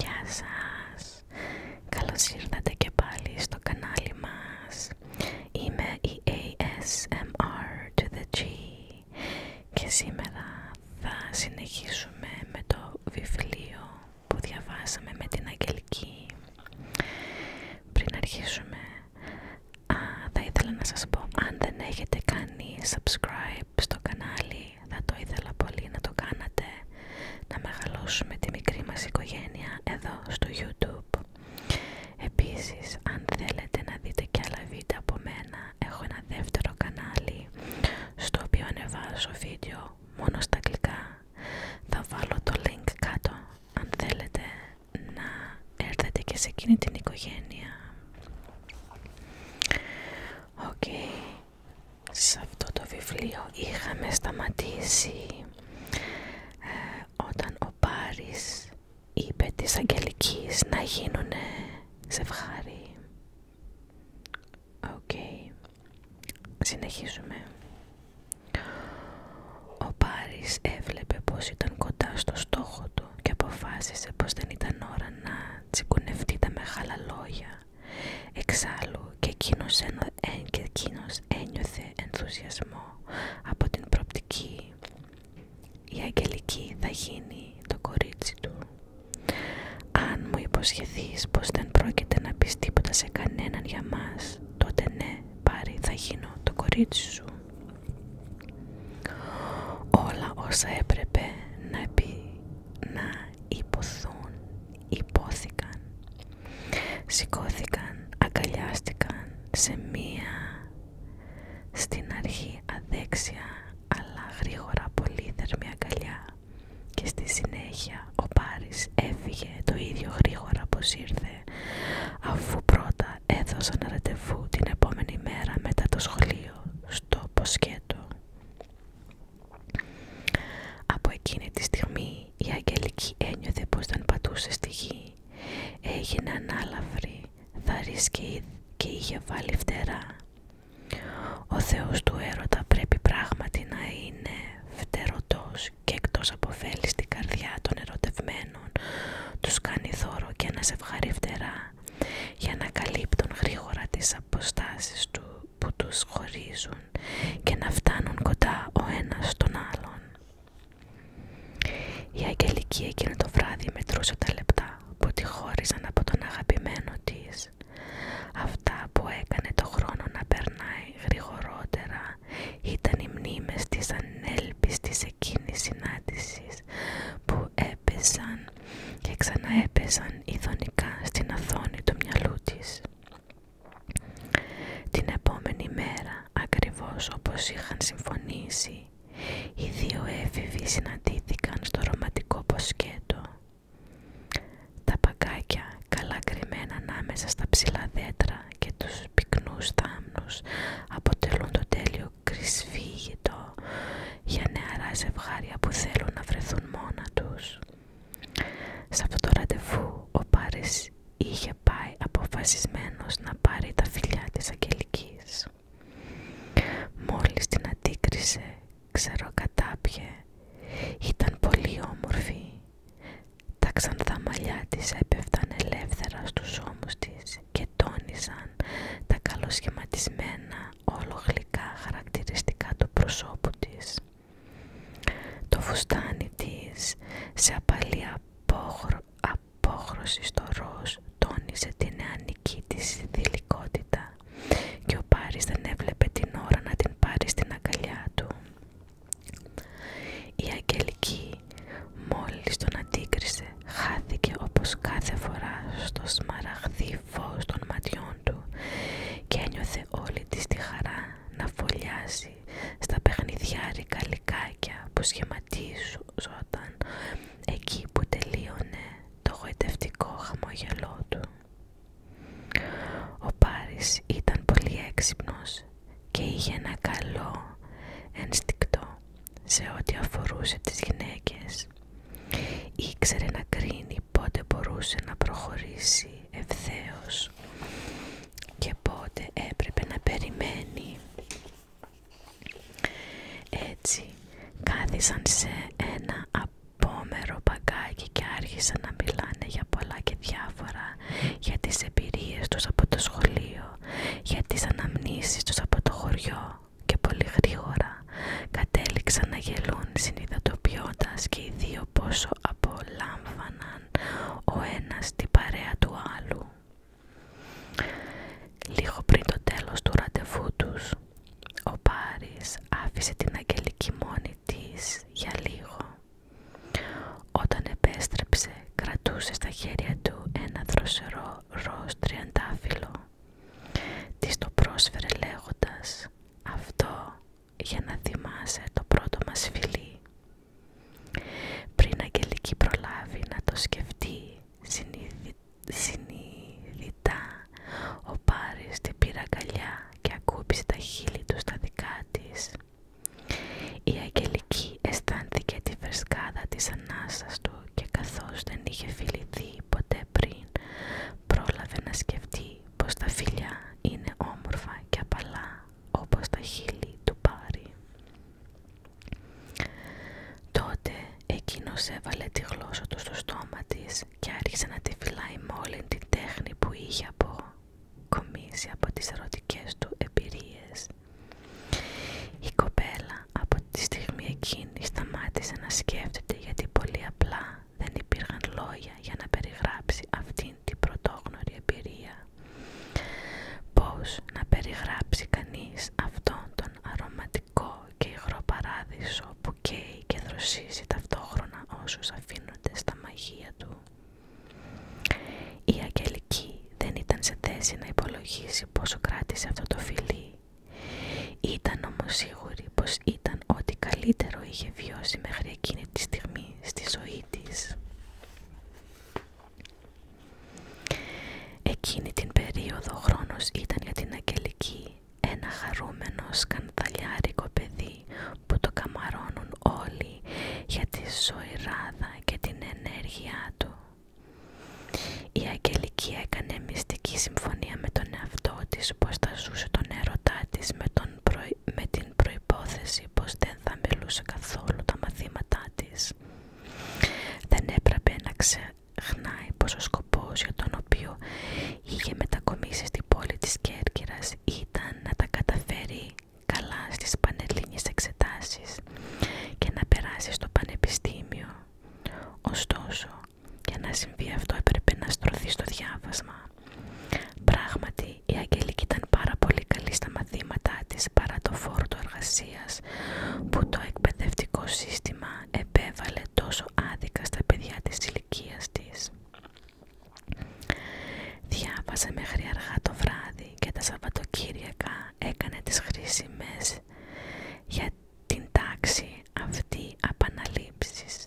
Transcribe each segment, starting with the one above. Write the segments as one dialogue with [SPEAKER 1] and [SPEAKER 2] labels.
[SPEAKER 1] Γεια σας! Καλώς ήρθατε και πάλι στο κανάλι μας. Είμαι η ASMR to the G και σήμερα θα συνεχίσουμε με το βιβλίο που διαβάσαμε με την Αγγελική. Πριν αρχίσουμε θα ήθελα να σας πω, αν δεν έχετε κάνει subscribe στο κανάλι, θα το ήθελα πολύ να το κάνατε, να μεγαλώσουμε τη μικρή μας οικογένεια εδώ στο YouTube. Επίσης, αν θέλετε να δείτε και άλλα βίντεο από μένα, έχω ένα δεύτερο κανάλι, στο οποίο ανεβάζω βίντεο μόνο στα αγγλικά. Θα βάλω το link κάτω, αν θέλετε να έρθετε και σε εκείνη την οικογένεια. Οκ, σε αυτό το βιβλίο είχαμε σταματήσει ε, όταν ο Πάρης είπε τις αγγελική να γίνουνε σε Οκ, συνεχίζουμε. Ο Πάρης έβλεπε πως ήταν κοντά στο στόχο του και αποφάσισε πως δεν ήταν ώρα να τσιγκουνευτεί τα μεγάλα λόγια. Εξάλλου και εκείνος, ε, ένιωθε ενθουσιασμό από την προπτική. Η Αγγελική θα γίνει το κορίτσι του. Αν μου υποσχεθείς πως δεν πρόκειται να πεις τίποτα σε κανέναν για μας, τότε ναι, Πάρη, θα γίνω το κορίτσι σου. Όλα όσα έπρεπε να, επί... να υποθούν, υπόθηκαν. Σηκώθηκαν, αγκαλιάστηκαν σε μία στην αρχή αδέξια αλλά γρήγορα πολύ θερμή αγκαλιά και στη συνέχεια ο Πάρης έφυγε το ίδιο γρήγορα πως ήρθε αφού πρώτα έδωσαν ραντεβού την επόμενη μέρα μετά το σχολείο στο ποσκέτο. Από εκείνη τη στιγμή η Αγγελική ένιωθε πως δεν πατούσε στη γη. Έγινε ανάλαφρη, θαρής και είχε βάλει φτερά. Ο Θεός του έρωτα πρέπει πράγματι να είναι φτερωτός και εκτός από φέλη στην καρδιά των ερωτευμένων τους κάνει θόρο και ένα ευχαριστέρα για να καλύπτουν γρήγορα τις αποστάσεις του που τους χωρίζουν και να φτάνουν κοντά ο ένας στον άλλον. Η Αγγελική εκείνο το βράδυ μετρούσε τα λεπτά που τη χώριζαν από τον αγαπημένο της. Αυτά που έκανε το χρόνο να περνάει γρηγορότερα ήταν οι μνήμες της ανέλπιστης εκείνης συνάντησης που έπεσαν και ξαναέπεσαν ειδονικά στην αθόνη του μυαλού της. Την επόμενη μέρα, ακριβώς όπως είχαν συμφωνήσει, οι δύο έφηβοι συναντήθηκαν στο ρομαντικό ποσκέτο. Τα παγκάκια καλά κρυμμένα ανάμεσα στα ψηλά δέντρα και τους πυκνούς θάμνους αποτελούν το τέλειο κρυσφύγητο για νεαρά ζευγάρια που θέλουν να βρεθούν μόνα τους. Σε αυτό το ραντεβού ο Πάρης είχε πάει αποφασισμένος να πάρει τα φιλιά της Αγγελικής. Μόλις την αντίκρισε, κατάπιε, ήταν πολύ όμορφη τα ξανθά μαλλιά της έπεφταν ελεύθερα στους ώμους της και τόνισαν τα καλοσχηματισμένα όλο χαρακτηριστικά του προσώπου της. Το φουστάνι της σε απαλή απόχρωση στο ροζ τόνισε την νεανική της δηλικότητα και ο Πάρης δεν έβλεπε την ώρα να την πάρει στην αγκαλιά του. Η Αγγελική μόλις τον αντίκρισε χάθηκε όπως κάθε φορά στο σμαραγδί φως των ματιών του και ένιωθε όλη της τη χαρά να φωλιάσει στα παιχνιδιάρικα λικάκια που σχηματίζονταν εκεί που τελείωνε το γοητευτικό χαμόγελό του. Ο Πάρης ήταν πολύ έξυπνος και είχε ένα καλό ενστικτό σε ό,τι αφορούσε τις γυναίκες. Ήξερε να κρίνει πότε μπορούσε να προχωρήσει ευθέως και πότε έπρεπε να περιμένει. Έτσι κάθισαν σε ένα πόμερο παγκάκι και άρχισαν να μιλάνε για πολλά και διάφορα, για τις εμπειρίες τους από το σχολείο, για τις αναμνήσεις τους από το χωριό και πολύ γρήγορα κατέληξαν να γελούν συνειδητοποιώντας και οι δύο πόσο απολάμβαναν ο ένας την παρέα του άλλου. Λίγο πριν το τέλος του ραντεβού τους, ο Πάρης άφησε την Αγγελική μόνη της για λίγο. Όταν επέστρεψε κρατούσε στα χέρια του ένα δροσερό ροζ τριαντάφυλλο. Της το πρόσφερε λέγοντας «Αυτό για να θυμάσαι το πρώτο μας φιλί». Πριν Αγγελική προλάβει να το σκεφτεί συνειδητά, ο Πάρης την πήρε και ακούμπησε τα χείλη του στα δικά της. Η Αγγελική αισθάνθηκε τη φρεσκάδα της ανάσας του και καθώς δεν είχε φιληθεί ποτέ πριν, πρόλαβε να σκεφτεί πως τα φιλιά είναι όμορφα και απαλά όπως τα χείλη του πάρει. Τότε εκείνος έβαλε τη γλώσσα του στο στόμα της και άρχισε να τη φυλάει με όλη την τέχνη που είχε αποκομίσει από τις ερωτικές του εμπειρίες. Η κοπέλα από τη στιγμή εκείνη σταμάτησε να σκέφτεται γιατί πολύ απλά δεν υπήρχαν λόγια για να περιγράψει αυτήν την πρωτόγνωρη εμπειρία. Πώς να περιγράψει κανείς αυτόν τον αρωματικό και υγρό παράδεισο που καίει και δροσίζει ταυτόχρονα όσους αφήνονται στα μαγεία του. Η Αγγελική δεν ήταν σε θέση να υπολογίσει πόσο κράτησε αυτό το φιλί. Ήταν όμως σίγουρη πως ήταν ό,τι καλύτερο είχε βιώσει μέχρι εκείνη τη στιγμή στη ζωή της. Εκείνη την περίοδο ο χρόνος ήταν για την Αγγελική ένα χαρούμενο σκανδαλιάρικο παιδί που το καμαρώνουν όλοι για τη ζωηράδα και την ενέργειά του. Η Αγγελική έκανε μυστική συμφωνία με τον εαυτό της πως θα ζούσε τον έρωτά της με, με την προϋπόθεση πως δεν θα μιλούσε καθόλου τα μαθήματά της. Δεν έπρεπε να, ξε χνάει πως ο για τον οποίο είχε μετακομίσει στην πόλη της Κέρκυρας ήταν να τα καταφέρει καλά στις πανελλήνιες εξετάσεις και να περάσει στο πανεπιστήμιο. Ωστόσο, για να συμβεί αυτό έπρεπε να στρωθεί στο διάβασμα. Πράγματι, η Αγγελική ήταν πάρα πολύ καλή στα μαθήματά της παρά το που το εκπαιδευτικό σύστημα επέβαλε τόσο άδικα στα παιδιά της ηλικία της. Διάβασε μέχρι αργά το βράδυ και τα Σαββατοκύριακα έκανε τις χρήσιμες για την τάξη αυτή επαναλήψεις.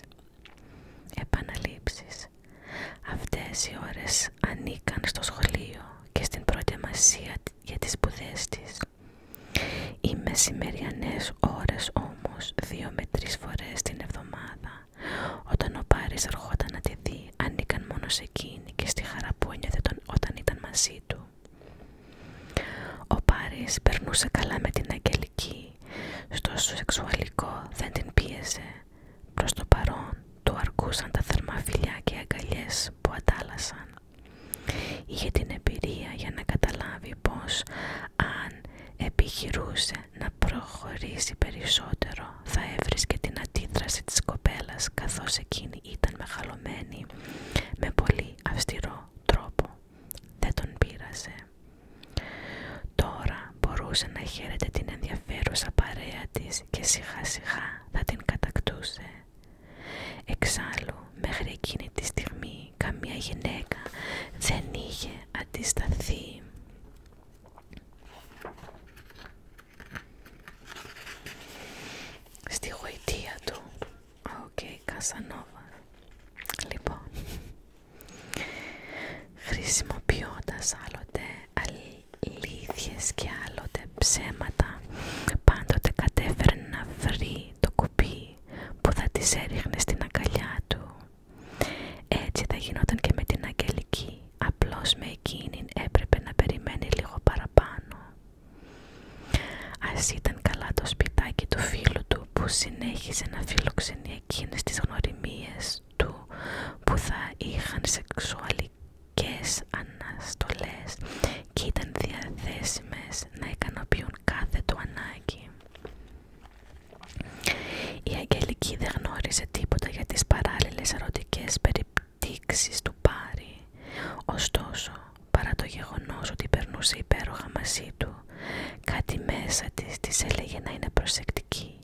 [SPEAKER 1] Επαναλήψεις. Αυτές οι ώρες ανήκαν στο σχολείο και στην προετοιμασία για τις σπουδές της. Οι μεσημεριανές ώρες όμως δύο με τρεις φορές την εβδομάδα όταν ο Πάρης ερχόταν να τη δει ανήκαν μόνο σε εκείνη και στη χαρά που ένιωθε όταν ήταν μαζί του. Ο Πάρης περνούσε καλά με την Αγγελική, στο σεξουαλικό δεν την πίεζε. Προς το παρόν του αρκούσαν τα θερμά και αγκαλιές που αντάλλασαν. Είχε την εμπειρία για να καταλάβει πως αν επιχειρούσε να προχωρήσει περισσότερο θα έβρισκε την αντίδραση της κοπέλας καθώς εκείνη ήταν μεγαλωμένη με πολύ αυστηρό τρόπο. Δεν τον πείρασε. Τώρα μπορούσε να χαίρεται την ενδιαφέρουσα παρέα της και σιγά σιγά θα την κατακτούσε. Εξάλλου, μέχρι εκείνη τη στιγμή, καμία γυναίκα δεν είχε αντισταθεί. Στη γοητεία του. Οκ, okay, Κασανόβα. Λοιπόν, χρησιμοποιώντας άλλοτε αλήθειες και άλλοτε ψέματα, πάντοτε κατέφερνε να βρει το κουπί που θα τις έριχνε στην αγκαλιά του. Έτσι θα γινόταν και με την Αγγελική, απλώς με εκείνη έπρεπε να περιμένει λίγο παραπάνω. Ας ήταν καλά το σπιτάκι του φίλου του που συνέχιζε να φιλοξενεί εκείνες τις γνωριμίες του που θα είχαν σεξουαλική ηθικές αναστολές και ήταν διαθέσιμες να ικανοποιούν κάθε του ανάγκη. Η Αγγελική δεν γνώρισε τίποτα για τις παράλληλες αρωτικές περιπτύξεις του Πάρη. Ωστόσο, παρά το γεγονός ότι περνούσε υπέροχα μαζί του, κάτι μέσα της της έλεγε να είναι προσεκτική.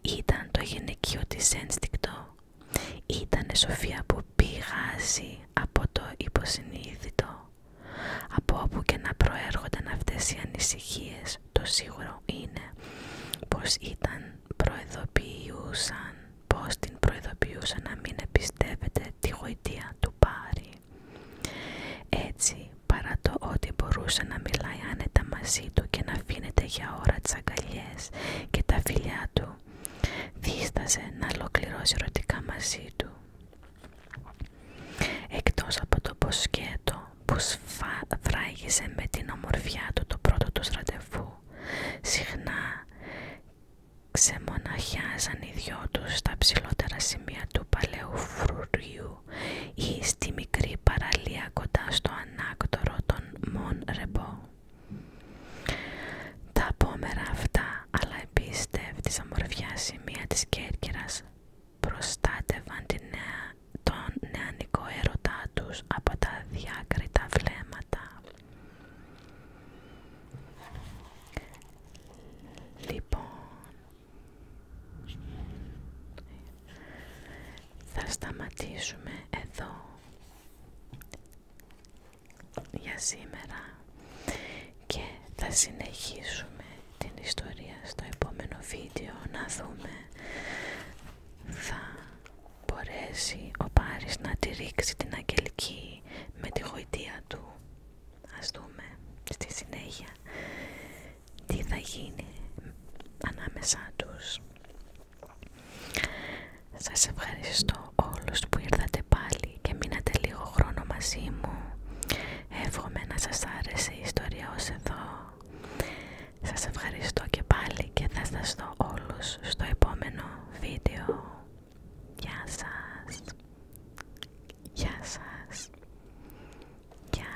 [SPEAKER 1] Ήταν το γυναικείο της ένστικτο Ήτανε σοφία που πηγάζει από το υποσυνείδητο. Από όπου και να προέρχονταν αυτές οι ανησυχίες, το σίγουρο είναι πως ήταν προεδοποιούσαν πως την προειδοποιούσαν να μην εμπιστεύεται τη γοητεία του Πάρη. Έτσι, παρά το ότι μπορούσε να μιλάει άνετα μαζί του και να αφήνεται για ώρα τις αγκαλιές και τα φιλιά του, δίστασε να ολοκληρώσει ερωτικά μαζί του. Εκτός από το ποσκέτο που σφράγισε με την ομορφιά του το πρώτο του ραντεβού, συχνά ξεμοναχιάζαν οι δυο τους στα ψηλότερα σημεία του παλαιού φρουριού ή στη μικρή παραλία κοντά στο ανάκτορο των Μον Ρεμπό. Τα πόμερα αυτά, αλλά εμπιστεύτης αμορφιά σημεία της Κέρκυρας, προστάτευαν τον νεανικό έρωτά τους από τα διάκριτα βλέμματα. Λοιπόν, θα σταματήσουμε εδώ για σήμερα και θα συνεχίσουμε την ιστορία στο επόμενο βίντεο να δούμε θα μπορέσει ο Πάρης να τη ρίξει την αγγελική με τη γοητεία του ας δούμε στη συνέχεια τι θα γίνει ανάμεσά τους σας ευχαριστώ όλους που ήρθατε πάλι και μείνατε λίγο χρόνο μαζί μου. Εύχομαι να σας άρεσε η ιστορία ως εδώ. Σας ευχαριστώ και πάλι και θα σας δω όλους στο επόμενο βίντεο. Γεια σας. Γεια σας. Γεια.